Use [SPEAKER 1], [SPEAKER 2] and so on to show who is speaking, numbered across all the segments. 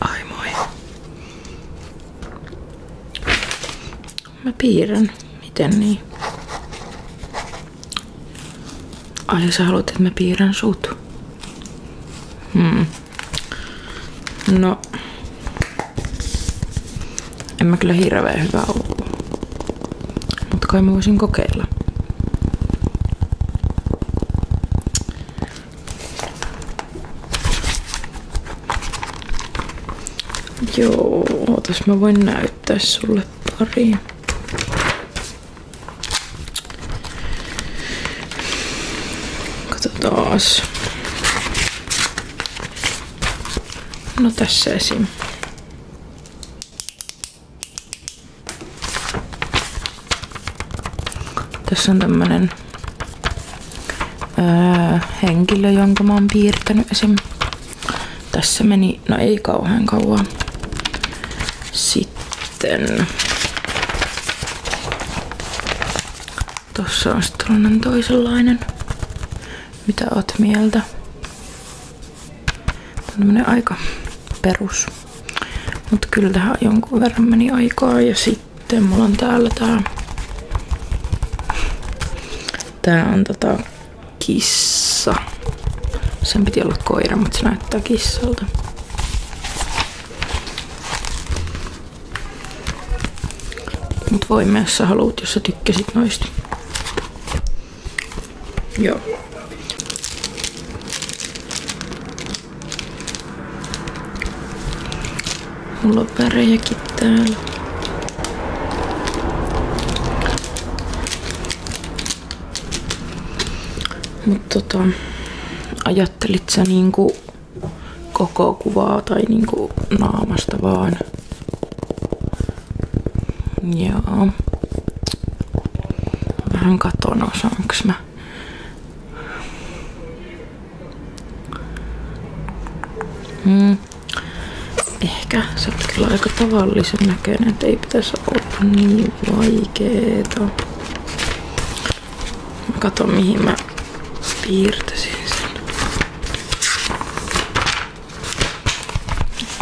[SPEAKER 1] Ai moi. Mä piirrän. Miten niin? Ai sä haluat, että mä piirrän sut. Hmm. No, en mä kyllä hirveän hyvä oo. Mut kai mä voisin kokeilla. Joo, ootas mä voin näyttää sulle pari. Katsotaas. No tässä esim. Tässä on tämmönen öö, henkilö, jonka mä oon piirtänyt esim. Tässä meni, no ei kauhean kauan. Sitten Tossa on sitten tällainen toisenlainen. Mitä oot mieltä? Tämä on aika perus. Mut kyllä tähän jonkun verran meni aikaa ja sitten mulla on täällä tää Tää on tota kissa. Sen piti olla koira, mutta se näyttää kissalta. Mut voi myös sä haluut, jos sä tykkäsit noista. Joo. Mulla on värejäkin täällä. Mut tota, ajattelit sä niinku koko kuvaa tai niinku naamasta vaan. Joo. Vähän katon osaanks mä. Mm. Ehkä se on kyllä aika tavallisen näköinen, että ei pitäisi olla niin vaikeeta. Mä katon mihin mä piirtäisin sen.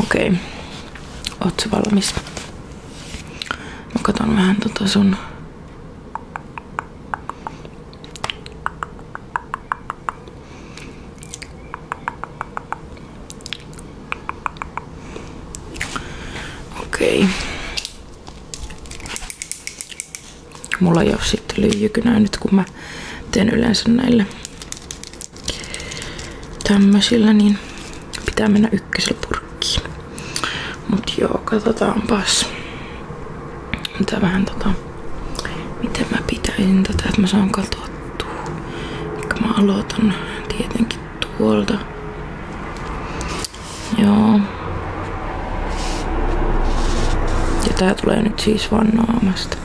[SPEAKER 1] Okei. Okay. Oot sä valmis? Mä katon vähän tota sun Okei. Mulla ei ole sitten lyijykynää nyt, kun mä teen yleensä näille tämmöisillä, niin pitää mennä ykkösellä purkkiin. Mut joo, katsotaanpas. Mitä vähän tota, miten mä pitäisin tätä, että mä saan katsottua. Ehkä mä aloitan tietenkin tuolta. Joo. Ja tää tulee nyt siis vannoamasta.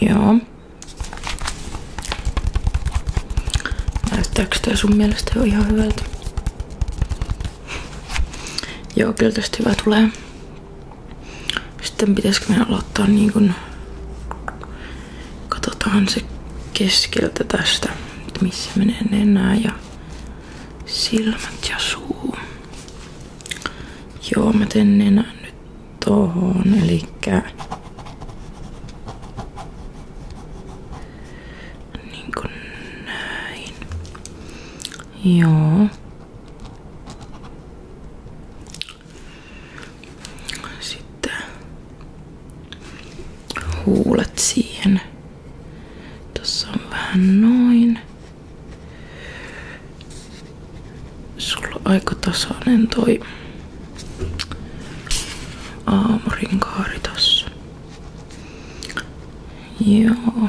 [SPEAKER 1] Joo. Näyttääkö tää sun mielestä jo ihan hyvältä? Joo, kyllä tästä hyvä tulee. Sitten pitäisikö meidän aloittaa niin kun Katsotaan se keskeltä tästä, missä menee nenää ja silmät ja suu. Joo, mä teen nenän nyt tohon, elikkä niin kuin näin. Joo. Sitten huulet siihen. Tossa on vähän noin. Sulla on aika tasainen toi aamurinkaari tossa. Joo.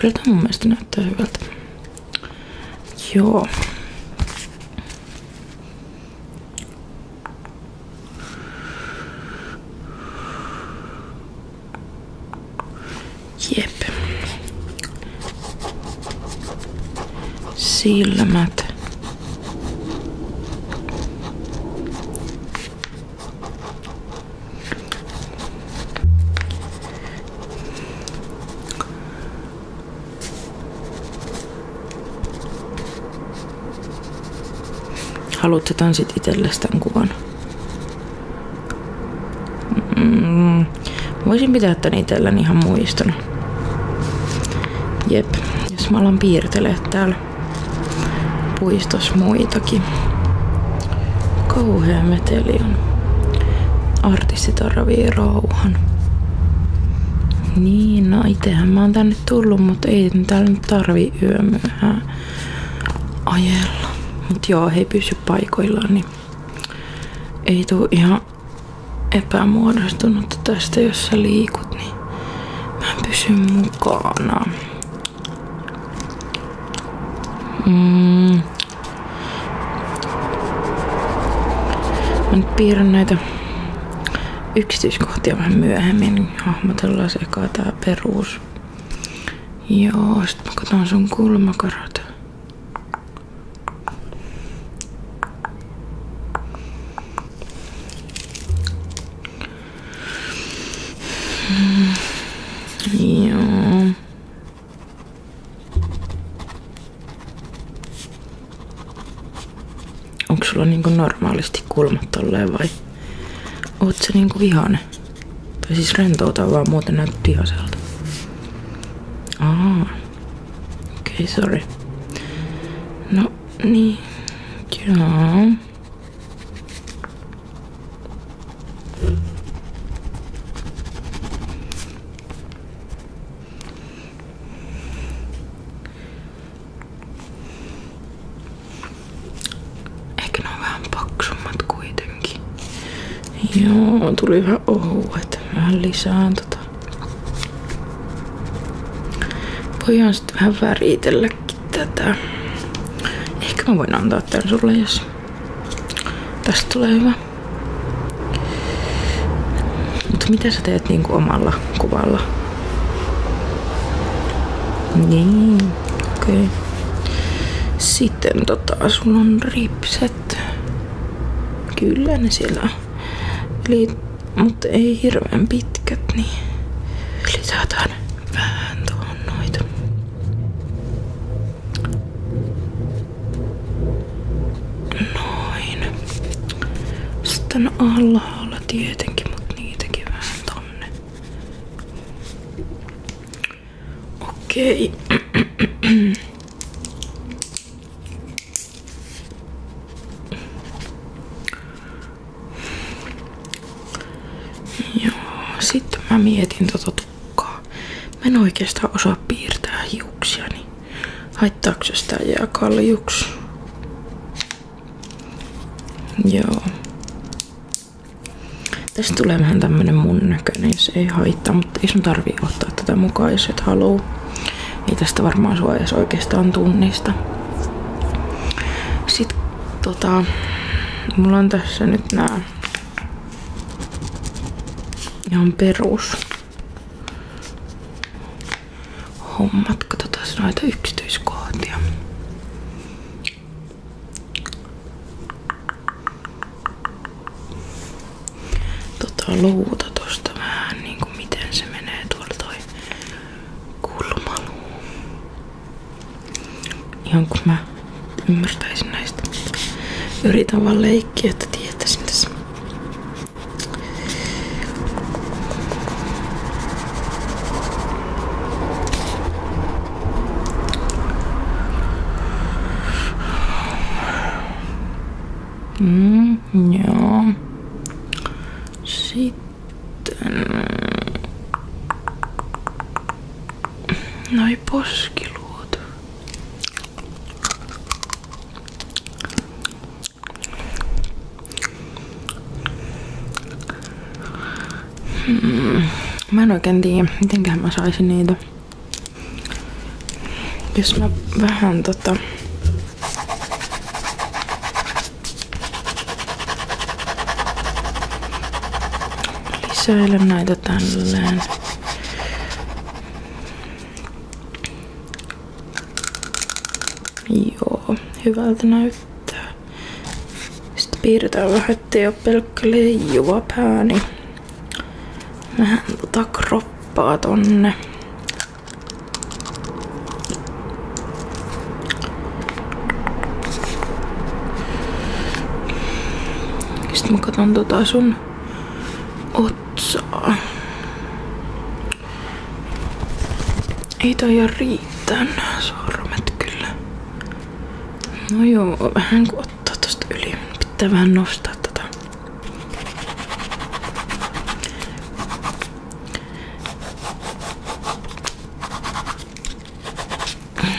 [SPEAKER 1] Kyllä tämä mun mielestä näyttää hyvältä. Joo. Jep. Silmät. Haluatko tanssit itsellesi tämän kuvan? Mm, voisin pitää tän itselläni ihan muistona. Jep, jos mä alan piirtelee täällä puistos muitakin. Kauhea meteli on. Artistit arvii rauhan. Niin, no itehän mä oon tänne tullut, mutta ei täällä nyt tarvii yömyöhään ajella. Mut joo, he ei pysy paikoillaan, niin ei tuu ihan epämuodostunut tästä, jos sä liikut, niin mä pysyn mukana. Mm. Mä nyt piirrän näitä yksityiskohtia vähän myöhemmin. Hahmotellaan se eka tää perus. Joo, sit mä katson sun kulmakarata. Ja. Onko sulla niinku normaalisti kulmat tolleen vai oot sä niinku vihane? Tai siis rentouta vaan muuten näytät vihaselta. Aa. Okei, okay, sorry. No niin. Joo. Eikö ne ole vähän paksummat kuitenkin? Joo, tuli vähän ohuet. Vähän lisään tota. Voidaan sitten vähän väritellä tätä. Ehkä mä voin antaa tän sulle, jos tästä tulee hyvä. Mutta mitä sä teet niinku omalla kuvalla? Niin, okei. Okay. Sitten tota, sulla on ripset. Kyllä ne siellä Eli mutta ei hirveän pitkät, niin lisätään vähän tuohon noita. Noin. Sitten alhaalla tietenkin, mutta niitäkin vähän Okei. Joo, sitten mä mietin tota tukkaa. Mä en oikeastaan osaa piirtää hiuksiani. Niin haittaako se sitä jää kaljuks? Joo. Tästä tulee vähän tämmönen mun näköinen, se ei haittaa, mutta ei sun tarvii ottaa tätä mukaan, jos et halua. Ei tästä varmaan sua edes oikeastaan tunnista. Sitten tota, mulla on tässä nyt nämä ihan perus hommat. Katsotaan noita yksityiskohtia. Tota luuta tosta vähän niinku miten se menee tuolla toi kulmaluu. Ihan kun mä ymmärtäisin näistä. Yritän vaan leikkiä, että tietäisin tässä. Mm, joo. Sitten. Mm. Noi poskiluot. Mm. Mä en oikein tiedä, mitenköhän mä saisin niitä. Jos mä vähän tota... Lisäilen näitä tälleen. Joo, hyvältä näyttää. Sitten piirretään vähän, ettei ole pelkkä leijuva pää, niin tota kroppaa tonne. Sitten mä katon tota sun otsaa. Ei taida riittää nää sormet kyllä. No joo, vähän kun ottaa tosta yli. Pitää vähän nostaa tota.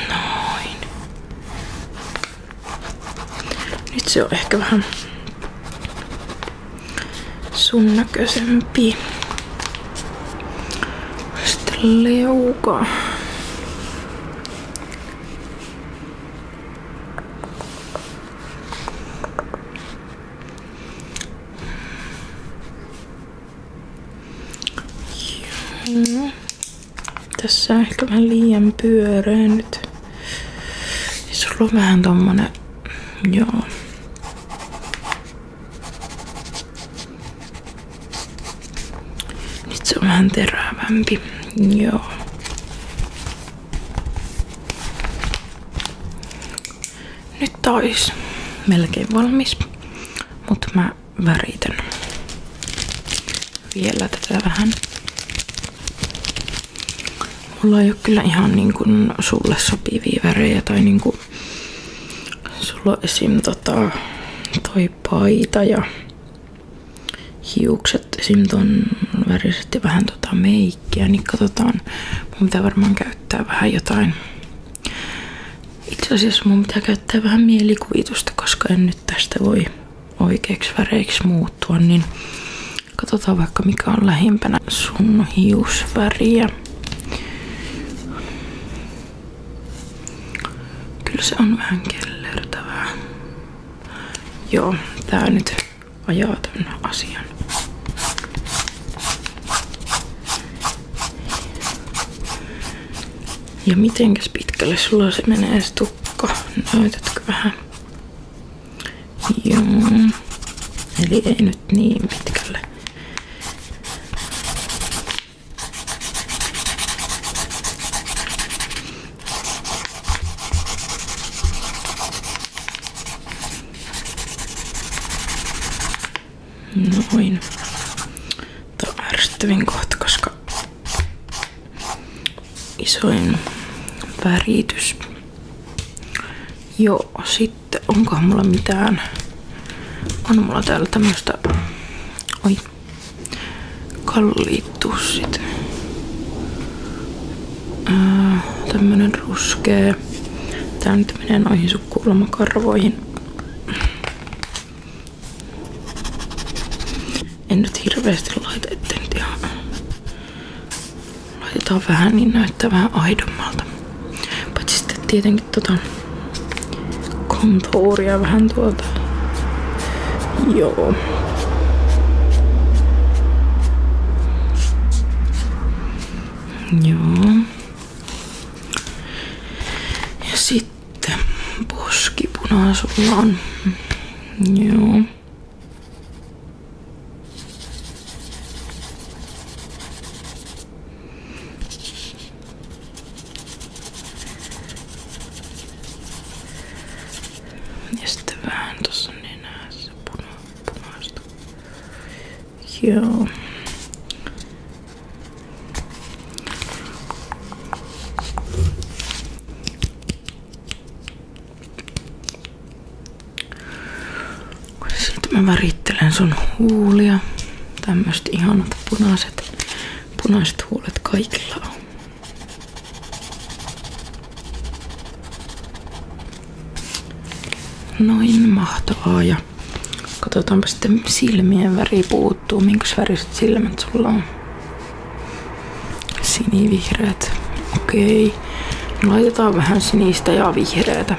[SPEAKER 1] Noin. Nyt se on ehkä vähän sun näköisempi. Sitten leuka. Joo. Mm. Tässä on ehkä vähän liian pyöreä nyt. Siis sulla on vähän tommonen... Joo. Nyt se on vähän terävämpi. Joo. Nyt ois melkein valmis, mutta mä väritän vielä tätä vähän. Mulla ei ole kyllä ihan niin kuin sulle sopivia värejä tai niin kuin sulla on esim. Tota, toi paita ja hiukset esim. ton väriset ja vähän tota musiikkia, niin katsotaan. Mun pitää varmaan käyttää vähän jotain. Itse asiassa mun pitää käyttää vähän mielikuvitusta, koska en nyt tästä voi oikeiksi väreiksi muuttua, niin katsotaan vaikka mikä on lähimpänä sun hiusväriä. Kyllä se on vähän kellertävää. Joo, tää nyt ajaa tämän asian. Ja mitenkäs pitkälle sulla se menee se tukka? Näytätkö vähän? Joo. Eli ei nyt niin pitkälle. Noin. Tämä on ärsyttävin kohta, koska isoin väritys. Joo, sitten onko mulla mitään? On mulla täällä tämmöstä Oi. Kalliitussit. Äh, tämmönen ruskea. Tää nyt menee noihin sun En nyt hirveästi laita, ettei nyt ihan... Laitetaan vähän niin näyttää vähän aidommalta. Paitsi sitten tietenkin tota kontuuria vähän tuolta. Joo. Joo. Ja sitten poskipuna on. Joo. Ja sitten vähän tuossa nenässä puna, punaista you sitten mä värittelen sun huulia. Tämmöiset ihanat punaiset, punaiset huulet kaikilla on. Noin, mahtavaa. Ja katsotaanpa sitten silmien väri puuttuu. Minkäs väriset silmät sulla on? Sinivihreät. Okei. Laitetaan vähän sinistä ja vihreätä.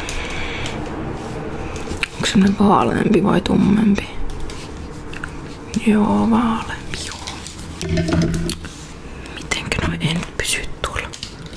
[SPEAKER 1] Onko semmonen vaaleampi vai tummempi? Joo, vaaleampi joo. Mitenkö noi en pysy tuolla?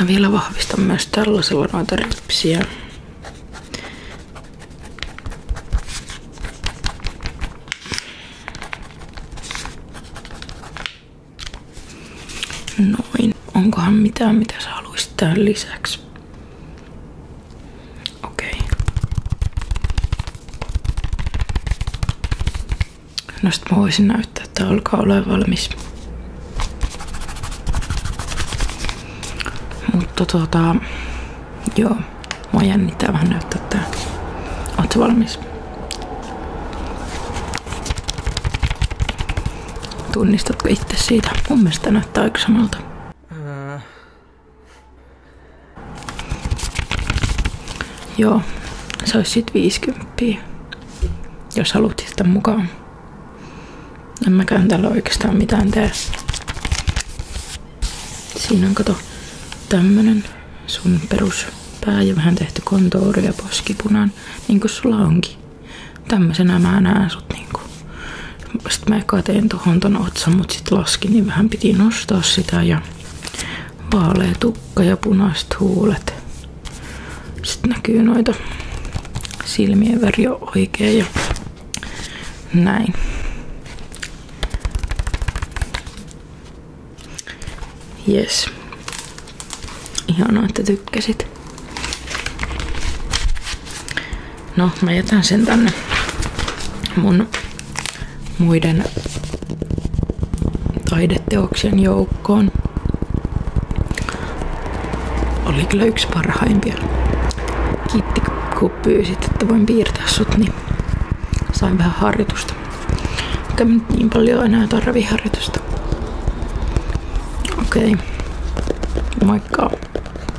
[SPEAKER 1] Mä vielä vahvistan myös tällaisella noita ripsiä. Noin. Onkohan mitään, mitä sä haluaisit tähän lisäksi? Okei. No sit mä voisin näyttää, että alkaa olla valmis. Mutta tota, joo, mua jännittää vähän näyttää tää. Oot valmis? Tunnistatko itse siitä? Mun mielestä näyttää aika samalta. Joo, se olisi sitten 50, jos haluat sitä mukaan. En mäkään täällä oikeastaan mitään tee. Siinä on kato tämmönen sun peruspää ja vähän tehty kontouri ja poskipunan, niin kuin sulla onkin. Tämmöisenä mä näen sut niinku. Sitten mä eka tein tohon ton otsan, mut sit laski, niin vähän piti nostaa sitä ja vaalea tukka ja punaiset huulet. Sitten näkyy noita silmien väri on oikea ja näin. Jes. Ihanaa, että tykkäsit. No, mä jätän sen tänne mun muiden taideteoksen joukkoon. Oli kyllä yksi parhaimpia. Kiitti kun pyysit, että voin piirtää sut, niin sain vähän harjoitusta. Eikä nyt niin paljon enää tarvi harjoitusta. Okei. Okay. god.